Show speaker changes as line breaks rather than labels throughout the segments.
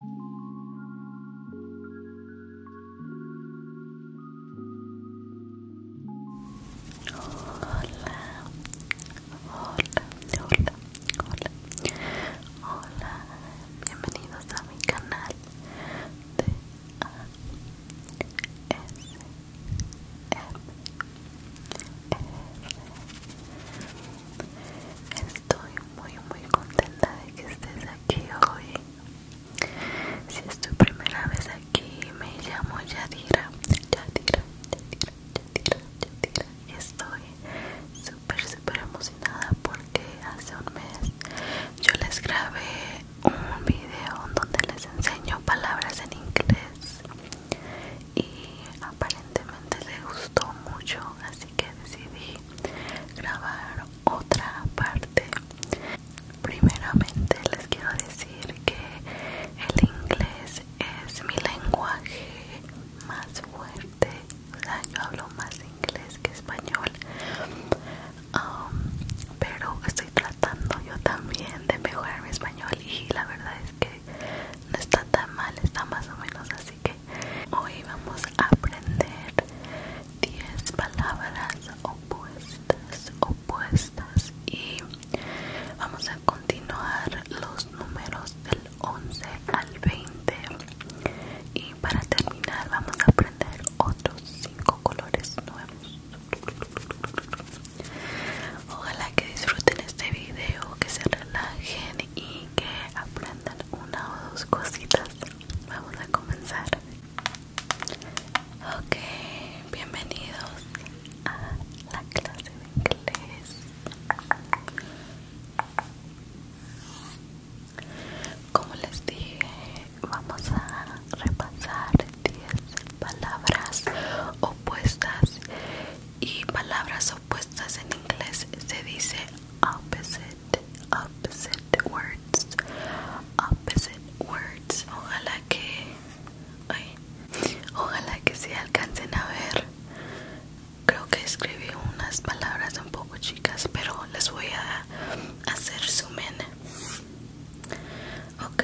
hola, hola, hola, hola, bienvenidos a mi canal de Estoy muy muy contenta de que estés aquí hoy. Si es tu primera vez aquí, me llamo Yadira. Yadira, Yadira, Yadira, Yadira. Y estoy súper súper emocionada porque hace un mes yo les grabé un video donde les enseño palabras en inglés y aparentemente les gustó mucho así que decidí grabar otra parte primeramente les quiero decir que el inglés es mi lenguaje más fuerte o sea yo hablo más inglés que español um, pero estoy tratando yo también de mejorar mi español y la verdad es que no está tan mal está más o menos así que hoy vamos a aprender 10 palabras opuestas, opuestas y vamos a continuar los números del 11 al 20 y para terminar vamos a aprender otros 5 colores nuevos. Ojalá que disfruten este video, que se relajen y que aprendan una o dos cositas. Vamos a comenzar. Ok, bienvenidos a la clase de inglés. Como les dije, vamos a repasar 10 palabras opuestas y palabras puestas en inglés se dice opposite, opposite words, opposite words. Ojalá que, ojalá que se alcancen a ver. Creo que escribí unas palabras un poco chicas, pero les voy a hacer sumen. Ok,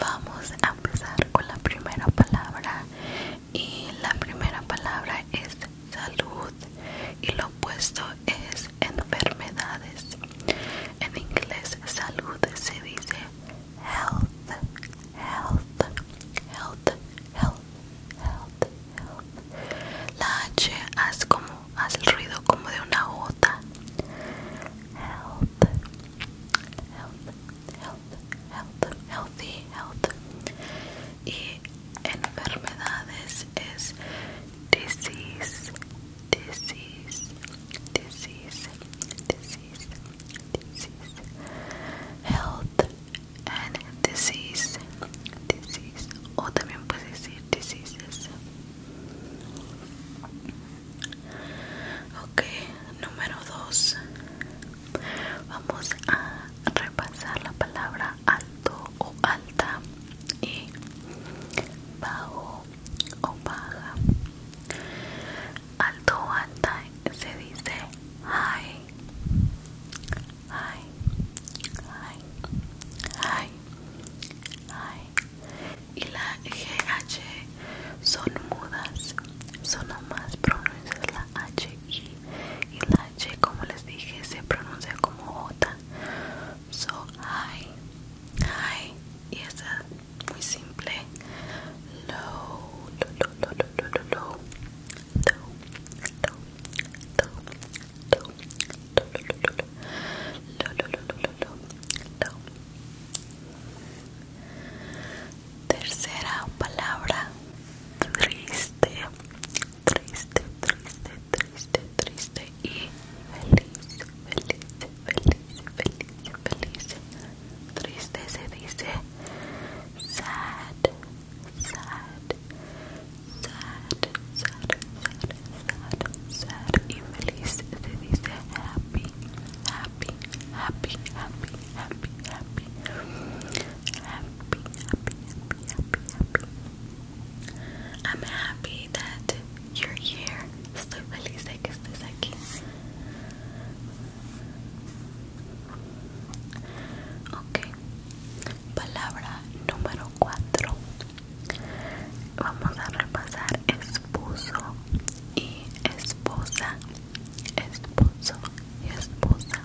vamos a empezar con la primera palabra y la primera palabra es salud y lo opuesto es enfermedades. En inglés salud se dice health, health, health, health, health, health. La H hace como hace el ruido como de una gota. Health, health, health, healthy, health enfermedades es disease, disease, disease, disease, disease, health and disease, disease, o también puedes decir diseases. Ok, número dos. Vamos a repasar la palabra alto o alta y bajo o baja. Alto o alta se dice high, high, high, Y la GH son mudas, las más pronuncias la H y la H como les dije se pronuncia como J so high high y esa muy simple low low Tercera palabra triste triste, triste, triste, triste y feliz, feliz, feliz, feliz, feliz. Triste se dice sad, sad, sad, sad, sad, sad y feliz se dice happy, happy, happy, happy, happy, happy. happy, happy, happy, happy, happy. I'm happy that you're here. Estoy feliz de que estés aquí. Ok, palabra número 4. Vamos a repasar esposo y esposa. Esposo y esposa.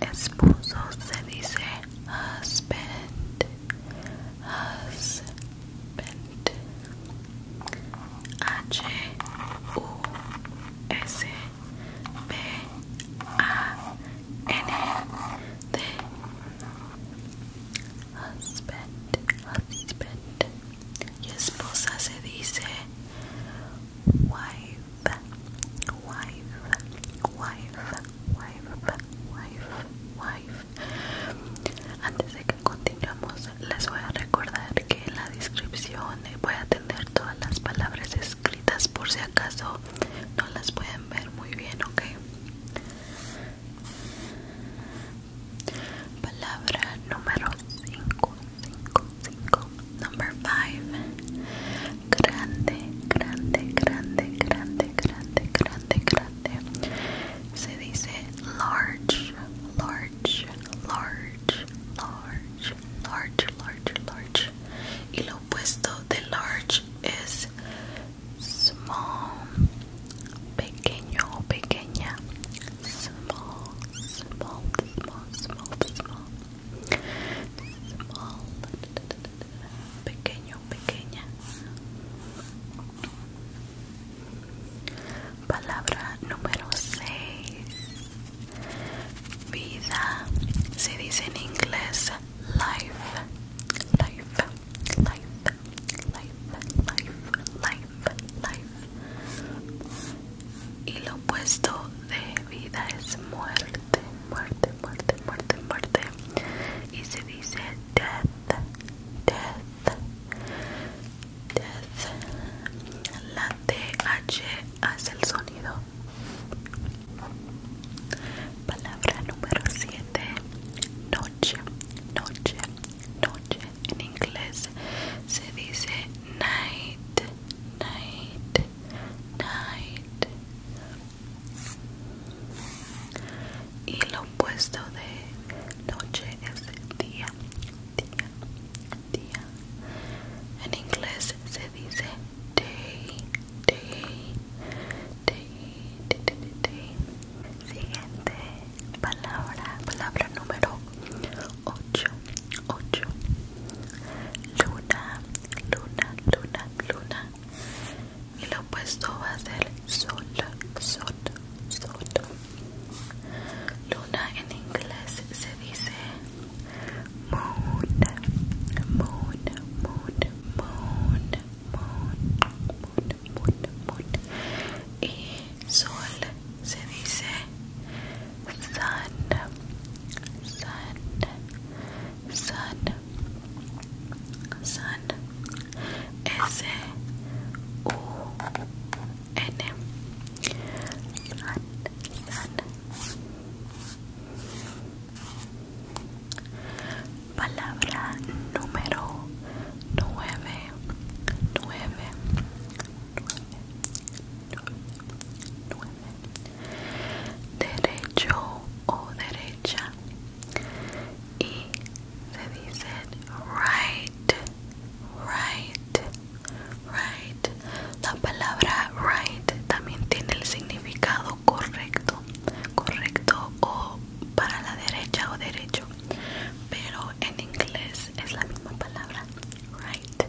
Esposo se dice husband, husband. H U S B A N D. Husband, husband. Y esposa se dice wife, wife, wife, wife, wife, wife. Antes de que continuemos, les voy a recordar que en la descripción voy a tener todas las palabras escritas por si acaso no las pueden ver muy bien, ¿ok? Palabra número 5, 5, 5 número 5, Grande, grande, grande, grande, grande, grande, grande. Se dice large, large, large, large, large, large, large. Y lo opuesto de large es small, pequeño o pequeña. Small, small, small, small, small pequeño, pequeña. Palabra número 6. Vida. Se dice en inglés life. Life, life, life, life, life, life. Y lo opuesto de vida es muerte, muerte muerte, muerte, muerte, Y se dice death, death, death. La TH hace el sonido. Palabra número 7. Noche, noche, noche. En inglés se dice night, night, night y lo opuesto de noche es día día día en inglés se dice day day day day day, siguiente palabra palabra número 8 8 luna, luna, luna, luna. Y lo opuesto va a ser sol, sol, sol. Luna en inglés se dice moon, moon, moon, moon, moon, moon, moon, moon. Y sol se dice sun, sun. San San S U N San San Palabra número nueve nueve nueve nueve nueve derecho o derecha y se dice right, right, right. La palabra right también tiene el significado correcto, correcto o para la derecha o derecho, pero en inglés es la misma palabra right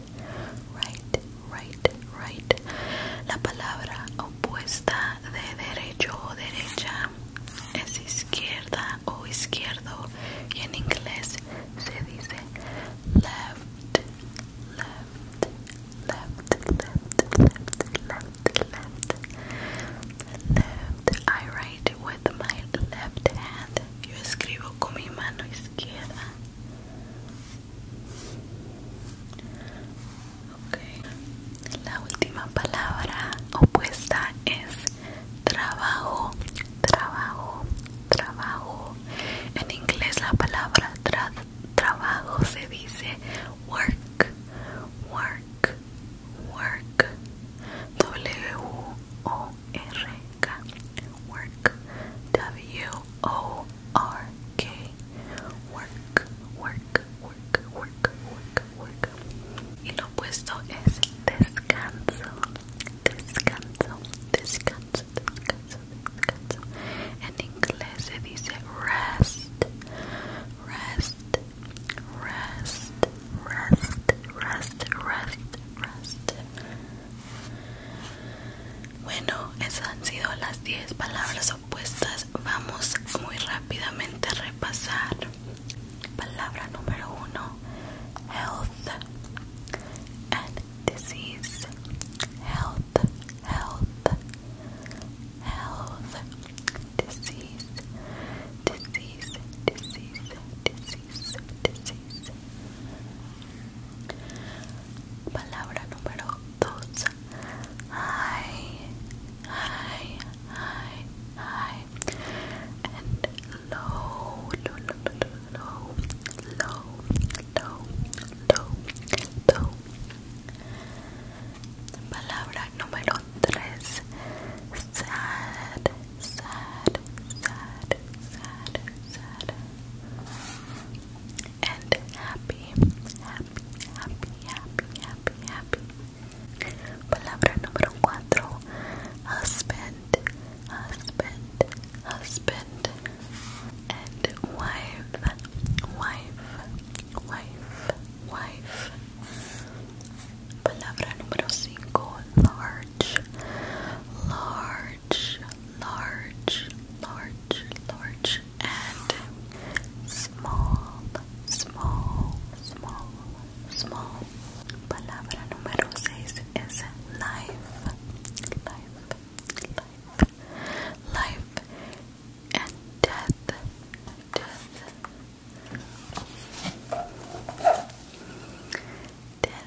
right, right, right, La palabra opuesta de derecho o derecha es izquierda o izquierdo y en inglés se dice left, left, left, left, left, left, left. Left. I write with my left hand. Yo escribo con mi mano izquierda. La última palabra opuesta es trabajo, trabajo, trabajo. En inglés la palabra trabajo se dice work, work, work. W O R K work. W O R K day. Work, work, work, work, work, work. Y lo opuesto es descanso. Descanso, descanso, descanso, descanso. En inglés se dice rest, rest, rest, rest, rest, rest, rest. Bueno, esas han sido las 10 palabras opuestas. Vamos muy rápidamente a repasar. Palabra número 1: health and disease. Health, health, health, disease, disease, disease, disease, disease. Palabra número 2. High, high, high, high. And low, low, low, low, low, low, low, low. Palabra número 3. Sad, sad, sad, sad, sad and happy, happy, happy, happy, happy, happy. Palabra número cuatro, husband, husband, husband, and wife, wife, wife, wife. Palabra número cinco, large, large, large, large, large and small, small, small, small. Palabra número 6 is life. Life, life, life, and death, death, death, death, death, death. death.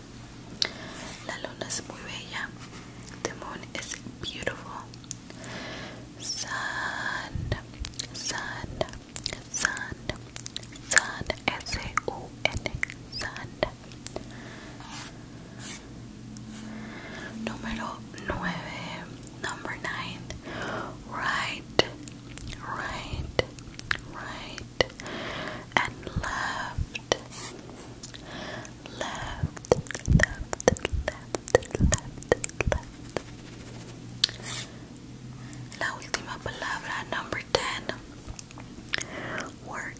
La luna es muy bella. The moon is beautiful. Sun, sun, sun, sun, S-U-N, Número 9, number nine Right, right, right. and left, left, left, left, left, left. última palabra, number 10. Work,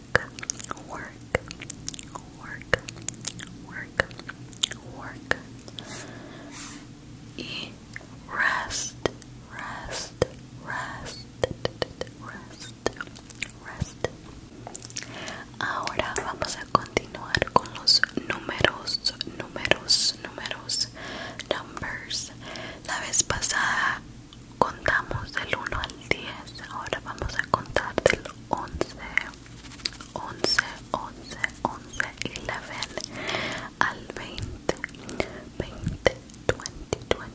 work, work, work, work. Y rest, rest, rest, rest, rest. Ahora vamos a continuar con los números, números, números, numbers. La vez pasada contamos del 1 al 10, ahora vamos a contar del 11, 11, 11, 11, 11 al 20, 20, 20, 20.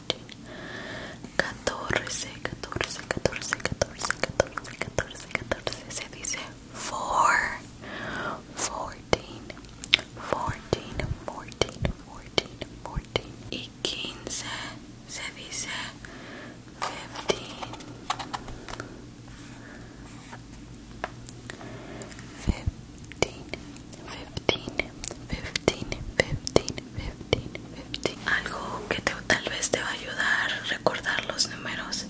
14, 14, 14, 14, 14, 14, se dice four, 14 14 14 fourteen, y 15 se dice 15 fifteen, fifteen, fifteen, algo que tal vez te va a ayudar a recordar los números.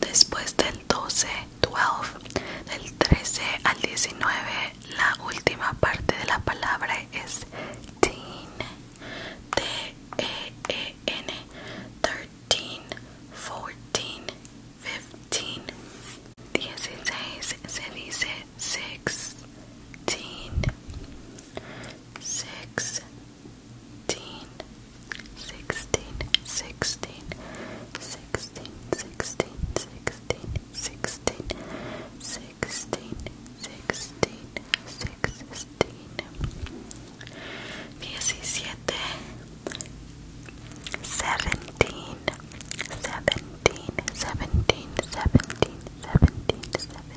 Después del 12, 12, del 13 al 19, la última parte de la palabra es teen. T E E N 13, 14, 15. 16 se dice 6 sixteen, sixteen, sixteen, sixteen, sixteen, sixteen, sixteen, sixteen, sixteen, sixteen, diecisiete, seventeen, seventeen, seventeen, seventeen, seventeen, seventeen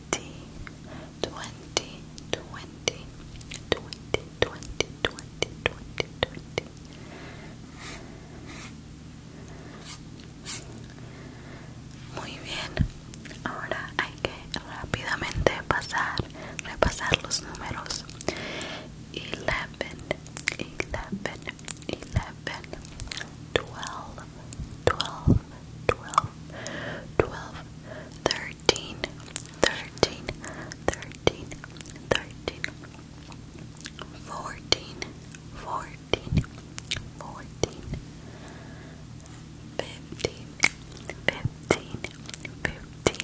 20 20 20 20 20 20 20 20 Muy bien ahora hay que rápidamente pasar repasar los números 11 11 11 12 12 12, 13, 13, 14, 14, 14, 15, 15, 15, 15,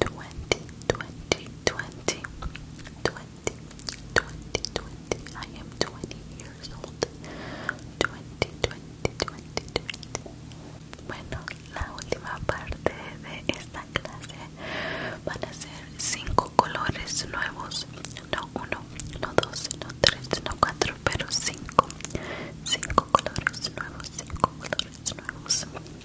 20, 20, 20, 20, 20, 20. I am 20 years old. 20, 20, 20. Bueno, la última parte de esta clase van a ser cinco colores nuevos. No uno, no dos, no tres, no cuatro, pero 5, Cinco colores nuevos, cinco colores nuevos.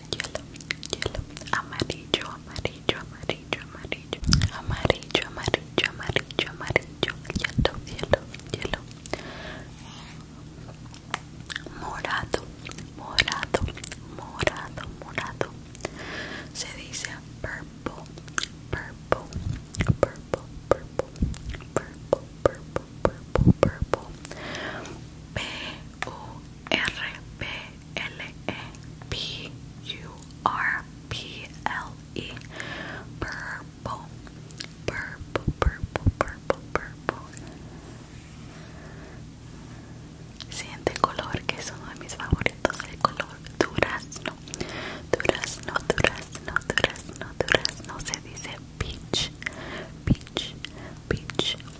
Yelo, yellow, amarillo, amarillo, amarillo, amarillo, amarillo, amarillo, amarillo, amarillo, amarillo morado, morado, morado, morado. Se dice purple, purple, purple, purple, purple, purple, purple, purple. P U R, P, L, E, P, U, R, P, L, E, purple, purple, purple, purple, purple. Siguiente color que es uno de mis favoritos, el color durazno, durazno, durazno, durazno, durazno, se dice peach, peach, peach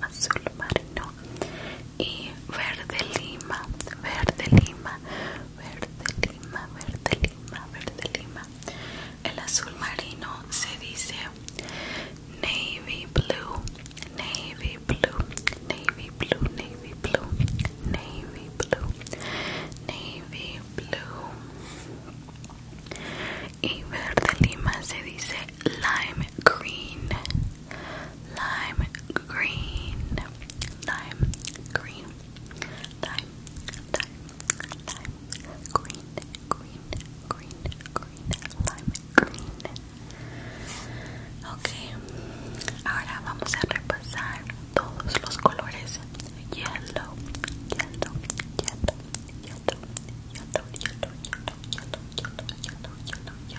azul marino y verde lima, verde lima, verde lima, verde lima, verde lima. El azul marino se dice navy blue, navy blue, navy blue, navy blue, navy blue, navy blue. Y verde lima se dice lime green, lime green, lime green, lime, lime, lime, green, green, green, green, lime green. Ok, ahora vamos a repasar todos los colores. Yellow, yellow, yellow, yellow, yellow, yellow, yellow, yellow, yellow, yellow, yellow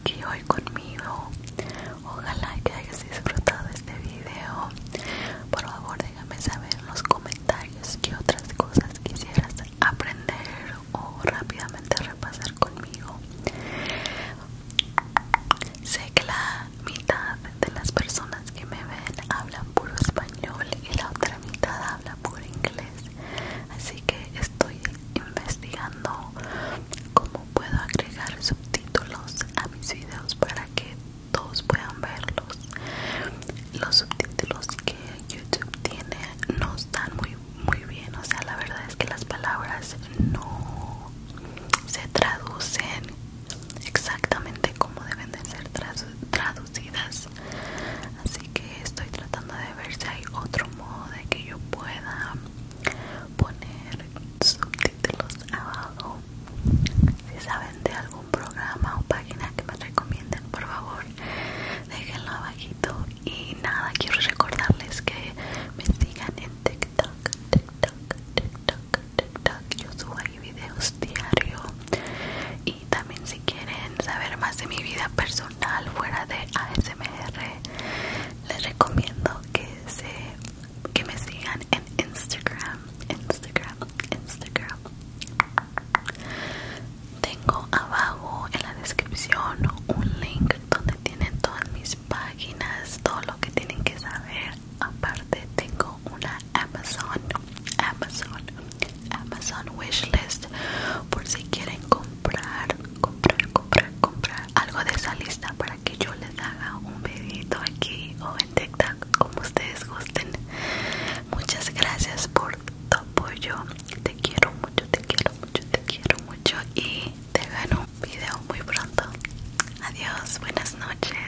aquí hoy conmigo. Ojalá que hayas disfrutado este video. Por favor, déjame saber en los comentarios qué otras cosas quisieras aprender o rápidamente repasar conmigo. Sé que la mitad de las personas que me ven hablan puro español y la otra mitad habla puro inglés. Así que estoy investigando cómo puedo agregar subtítulos a mis videos para que todos puedan verlos. Los subtítulos que YouTube tiene no están muy muy bien, o sea, la verdad es que las palabras no se traducen exactamente como deben de ser traducidas. Así que estoy tratando de ver si hay otro modo de que yo pueda poner subtítulos abajo. Si saben de algún programa o página que me recomienden, por favor, déjenlo abajito. Y nada, quiero recordarles que me sigan en TikTok, TikTok, TikTok, TikTok. Yo subo ahí videos diario. Y también si quieren saber más de mi vida personal fuera de ASMR, les recomiendo que que me sigan en Instagram, Instagram, Instagram. Tengo abajo en la descripción un link donde tienen todas mis páginas, todo lo que tienen que saber. Aparte tengo una Amazon, Amazon, Amazon wishlist por si quieren comprar, comprar, comprar comprar, algo de esa lista para que yo les haga un videito aquí o en TikTok, como ustedes gusten. Muchas gracias por tu apoyo. Te quiero mucho, te quiero mucho, te quiero mucho. Y te gano un video muy pronto. Adiós, buenas noches.